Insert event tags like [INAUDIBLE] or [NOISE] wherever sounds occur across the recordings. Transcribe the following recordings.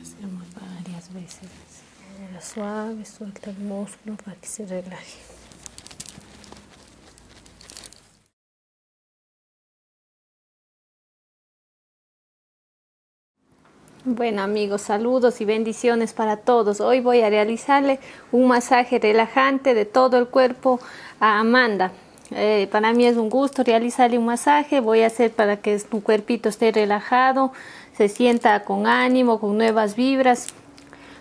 Hacemos varias veces suave, suelta el músculo para que se relaje. Bueno amigos, saludos y bendiciones para todos. Hoy voy a realizarle un masaje relajante de todo el cuerpo a Amanda. Eh, para mí es un gusto realizarle un masaje, voy a hacer para que su cuerpito esté relajado, se sienta con ánimo, con nuevas vibras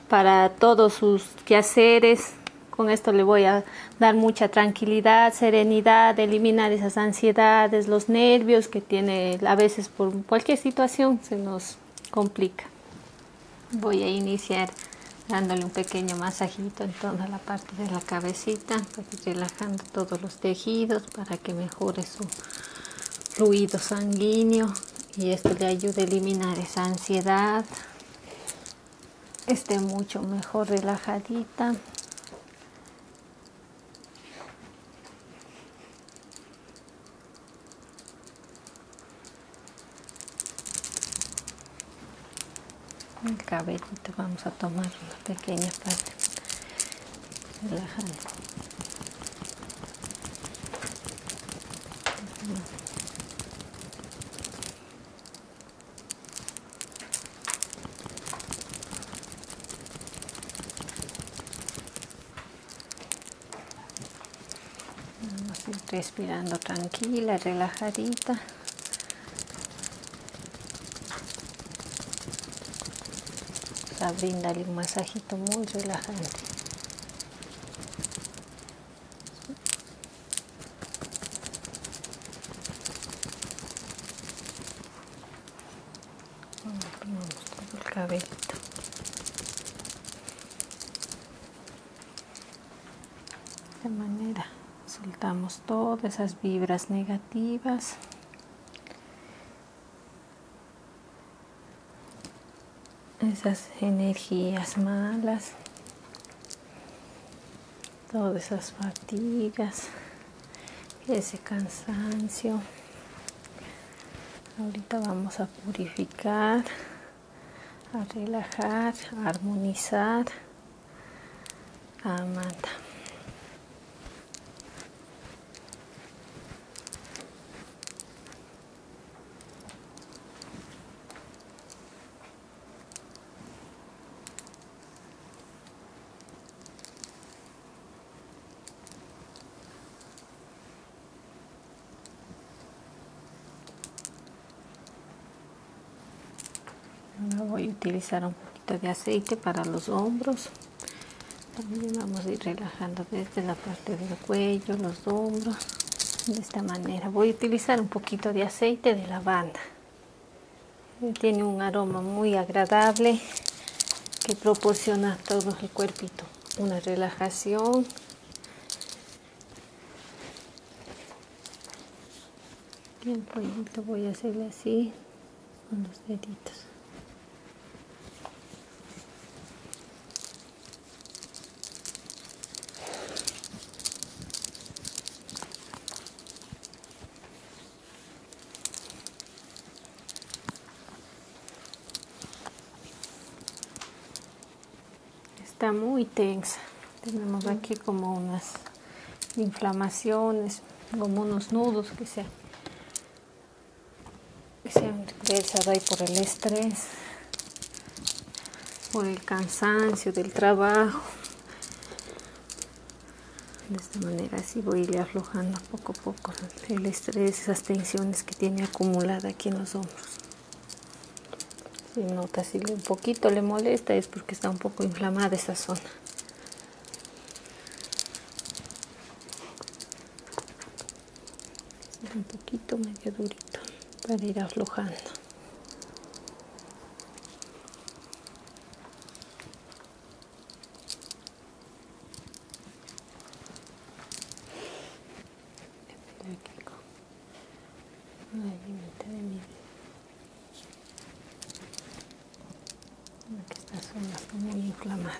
para todos sus quehaceres. Con esto le voy a dar mucha tranquilidad, serenidad, eliminar esas ansiedades, los nervios que tiene a veces por cualquier situación se nos complica voy a iniciar dándole un pequeño masajito en toda la parte de la cabecita relajando todos los tejidos para que mejore su ruido sanguíneo y esto le ayude a eliminar esa ansiedad esté mucho mejor relajadita el te vamos a tomar una pequeña parte relajando Vamos a ir respirando tranquila, relajadita. a brindarle un masajito muy relajante. Vamos de manera soltamos todas esas vibras negativas esas energías malas todas esas fatigas ese cansancio ahorita vamos a purificar a relajar, a armonizar a Amanda voy a utilizar un poquito de aceite para los hombros. También vamos a ir relajando desde la parte del cuello, los hombros. De esta manera voy a utilizar un poquito de aceite de lavanda. Tiene un aroma muy agradable que proporciona a todo el cuerpito. Una relajación bien, el voy a hacerle así con los deditos está muy tensa. Tenemos aquí como unas inflamaciones, como unos nudos que se, han ahí por el estrés, por el cansancio del trabajo. De esta manera así voy a ir aflojando poco a poco el estrés, esas tensiones que tiene acumulada aquí en los hombros. Si nota si un poquito le molesta es porque está un poco inflamada esa zona. Un poquito medio durito para ir aflojando la limita de mi vida que esta zona está muy inflamada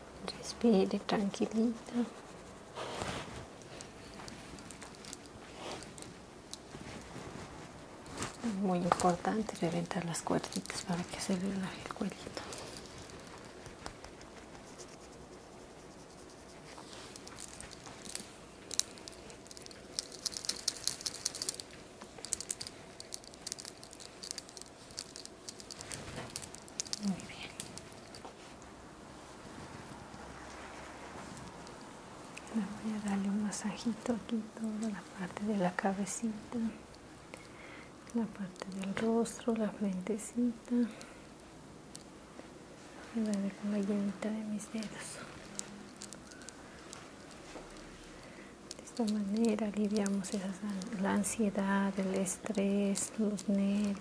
respira tranquillita es muy importante reventar las cuerditas para que se relaje el cuellito Muy bien. voy a darle un masajito aquí toda la parte de la cabecita, la parte del rostro, la frentecita. la llenita de mis dedos. De esta manera aliviamos la ansiedad, el tres los negros.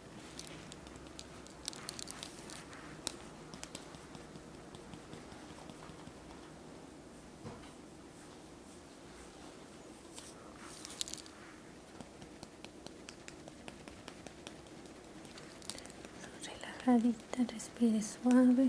relajadita, respire suave.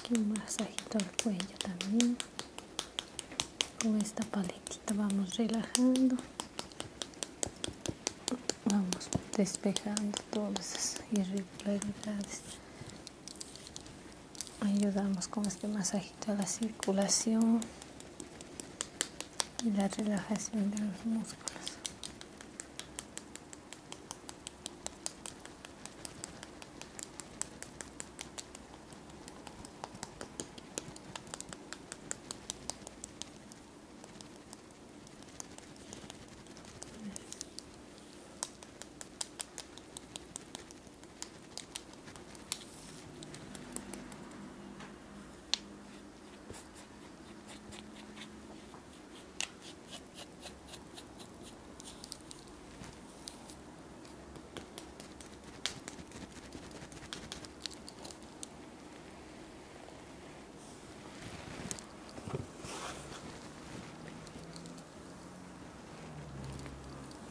Aquí un masajito al cuello también. Con esta paletita vamos relajando. Vamos despejando todas esas irregularidades. Ayudamos con este masajito a la circulación y la relajación de los músculos.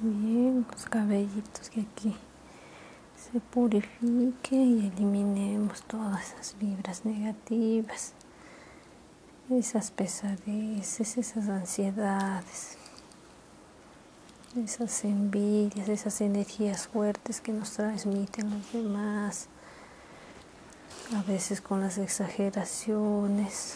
E os caveitos que aqui se purifique y eliminemos todas esas vibras negativas, esas pesadeces, esas ansiedades, esas envidias, esas energías fuertes que nos transmiten los demás, a veces con las exageraciones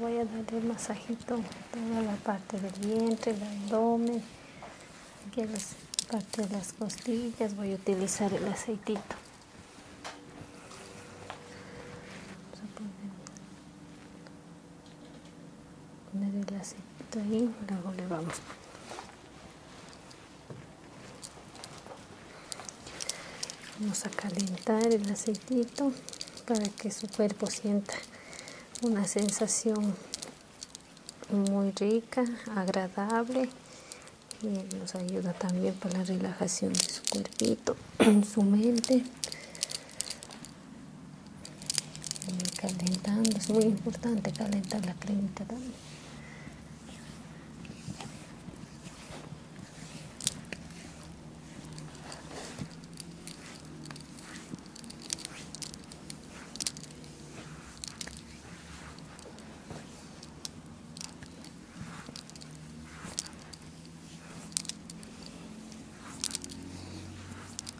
voy a dar el masajito a toda la parte del vientre, el abdomen, aquí a la parte de las costillas voy a utilizar el aceitito. Vamos a poner el aceite ahí, luego le vamos. Vamos a calentar el aceitito para que su cuerpo sienta una sensación muy rica, agradable y nos ayuda también para la relajación de su cuerpito, [CLEARS THROAT] su mente calentando, es muy importante calentar la clínica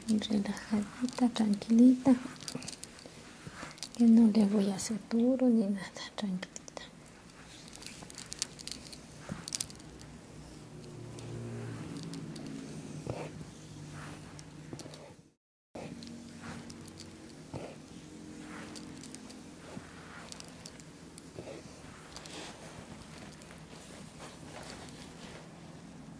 relajadita, tranquilita. Que no le voy a hacer duro ni nada, tranquilita.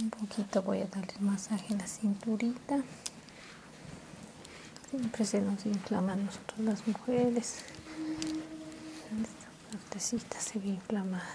un poquito voy a darle masaje en la cinturita siempre se nos inflama nosotros las mujeres esta partecita se ve inflamada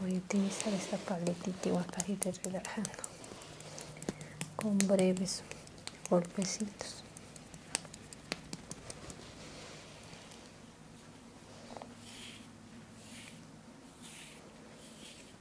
Voy a utilizar esta paletita igual para ir relajando con breves golpecitos.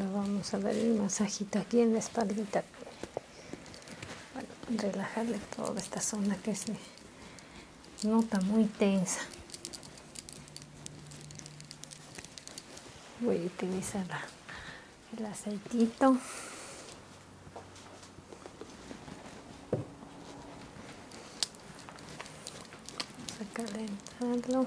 Ahora vamos a ver el masajito aquí en la espalda relajarle toda esta zona que se nota muy tensa voy a utilizar el aceitito vamos a calentarlo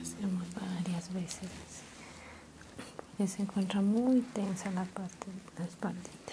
Hacemos varias veces ya se encuentra muy tensa la parte de la espaldita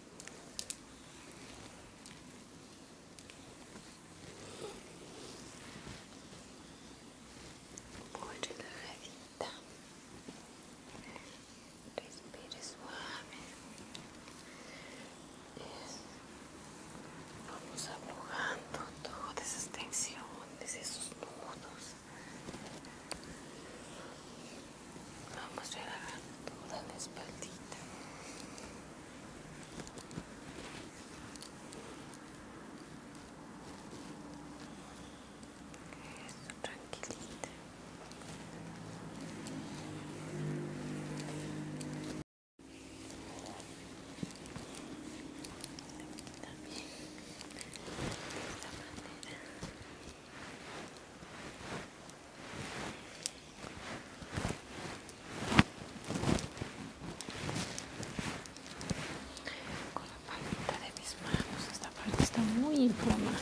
muy relajadita respire suave vamos aflojando todas esas tensiones esos nudos Vamos a relajar toda la espalda. Eso, tranquilita. También de esta manera. Con la palita de mis manos, esta parte está muy inflamada.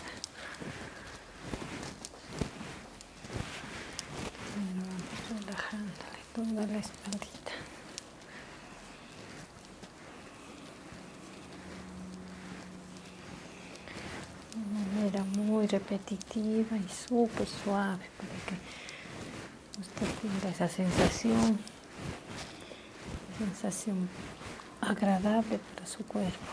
vamos relajándole toda la espaldita de manera muy repetitiva y súper suave para que usted tenga esa sensación, sensación agradable para su cuerpo.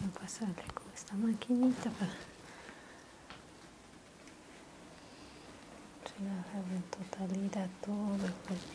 Voy a pasarle con esta maquinita para relajar en totalidad todo el cuerpo.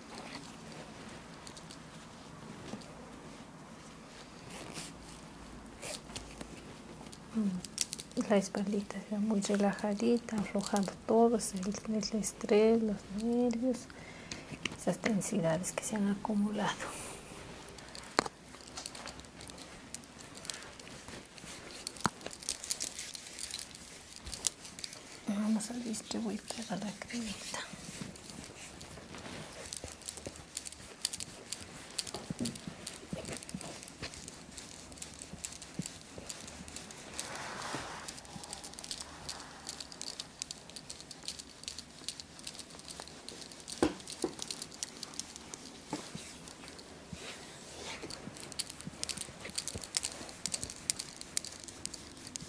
Mm. La espalda está muy relajadita, aflojando todos, el, estrés, los nervios, esas tensidades que se han acumulado vamos a distribuir toda la cremita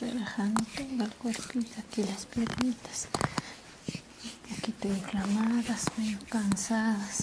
relajando todo el cuerpo aquí las piernitas un poquito inflamadas medio cansadas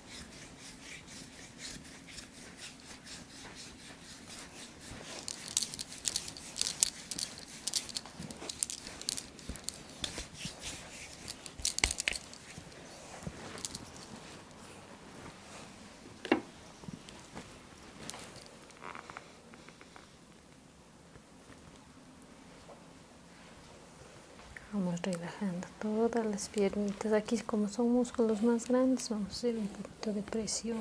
Vamos relajando todas las piernitas. Aquí como son músculos más grandes, vamos a hacer un poquito de presión.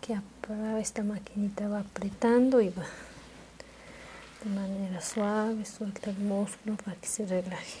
Que esta maquinita va apretando y va de manera suave, suelta el músculo para que se relaje.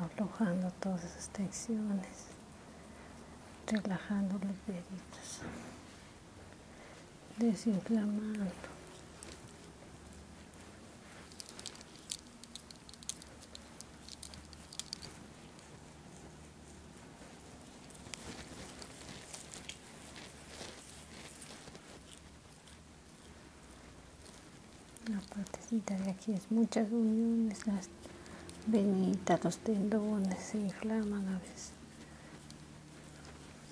aflojando todas esas tensiones, relajando los deditos desinflamando la partecita de aquí es muchas uniones las venitas los tendones se inflaman a veces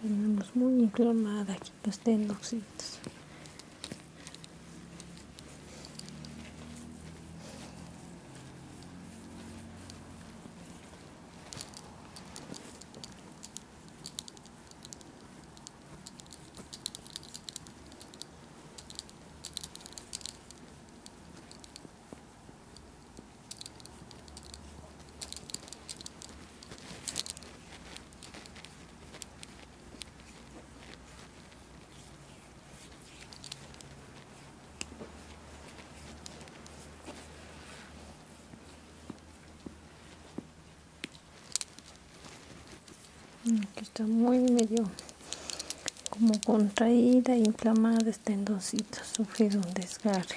tenemos muy inflamada aquí los tendocitos Aquí mm, está muy medio como contraída inflamada, este sufrido un desgarre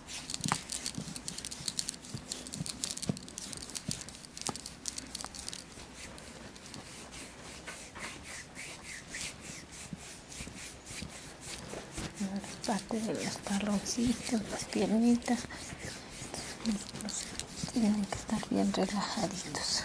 Parte de los las piernitas, tienen que estar bien relajaditos.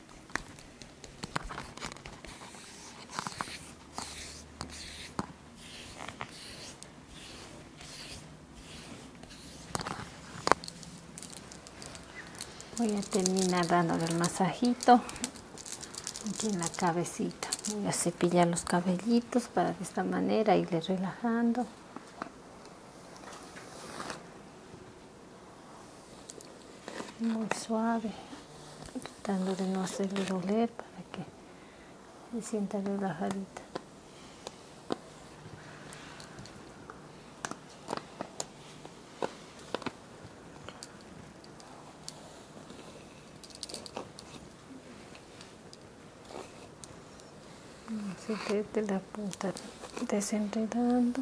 voy a terminar dándole el masajito aquí en la cabecita voy a cepillar los cabellitos para de esta manera irle relajando muy suave tratando de no hacerle doler para que se sienta relajadita así que de la punta desenredando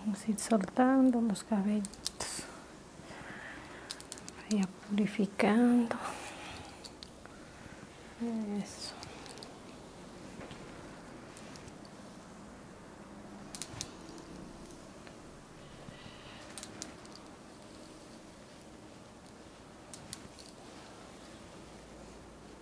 Vamos a ir soltando los cabellos. Vaya purificando. Eso.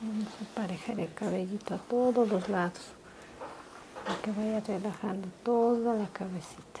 Vamos a aparejar el cabellito a todos los lados para que vaya relajando toda la cabecita.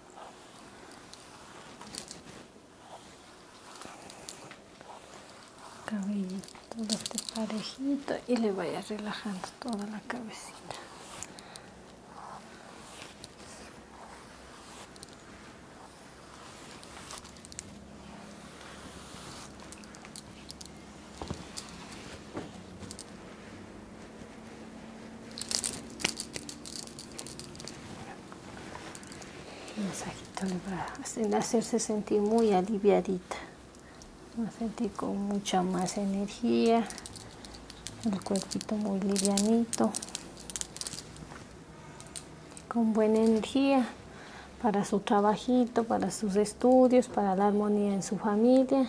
cabello todo este parejito y le vaya relajando toda la cabecita el masajito le hacerse sentir muy aliviadita con mucha más energía el cuerpito muy livianito con buena energía para su trabajito, para sus estudios, para la armonía en su familia.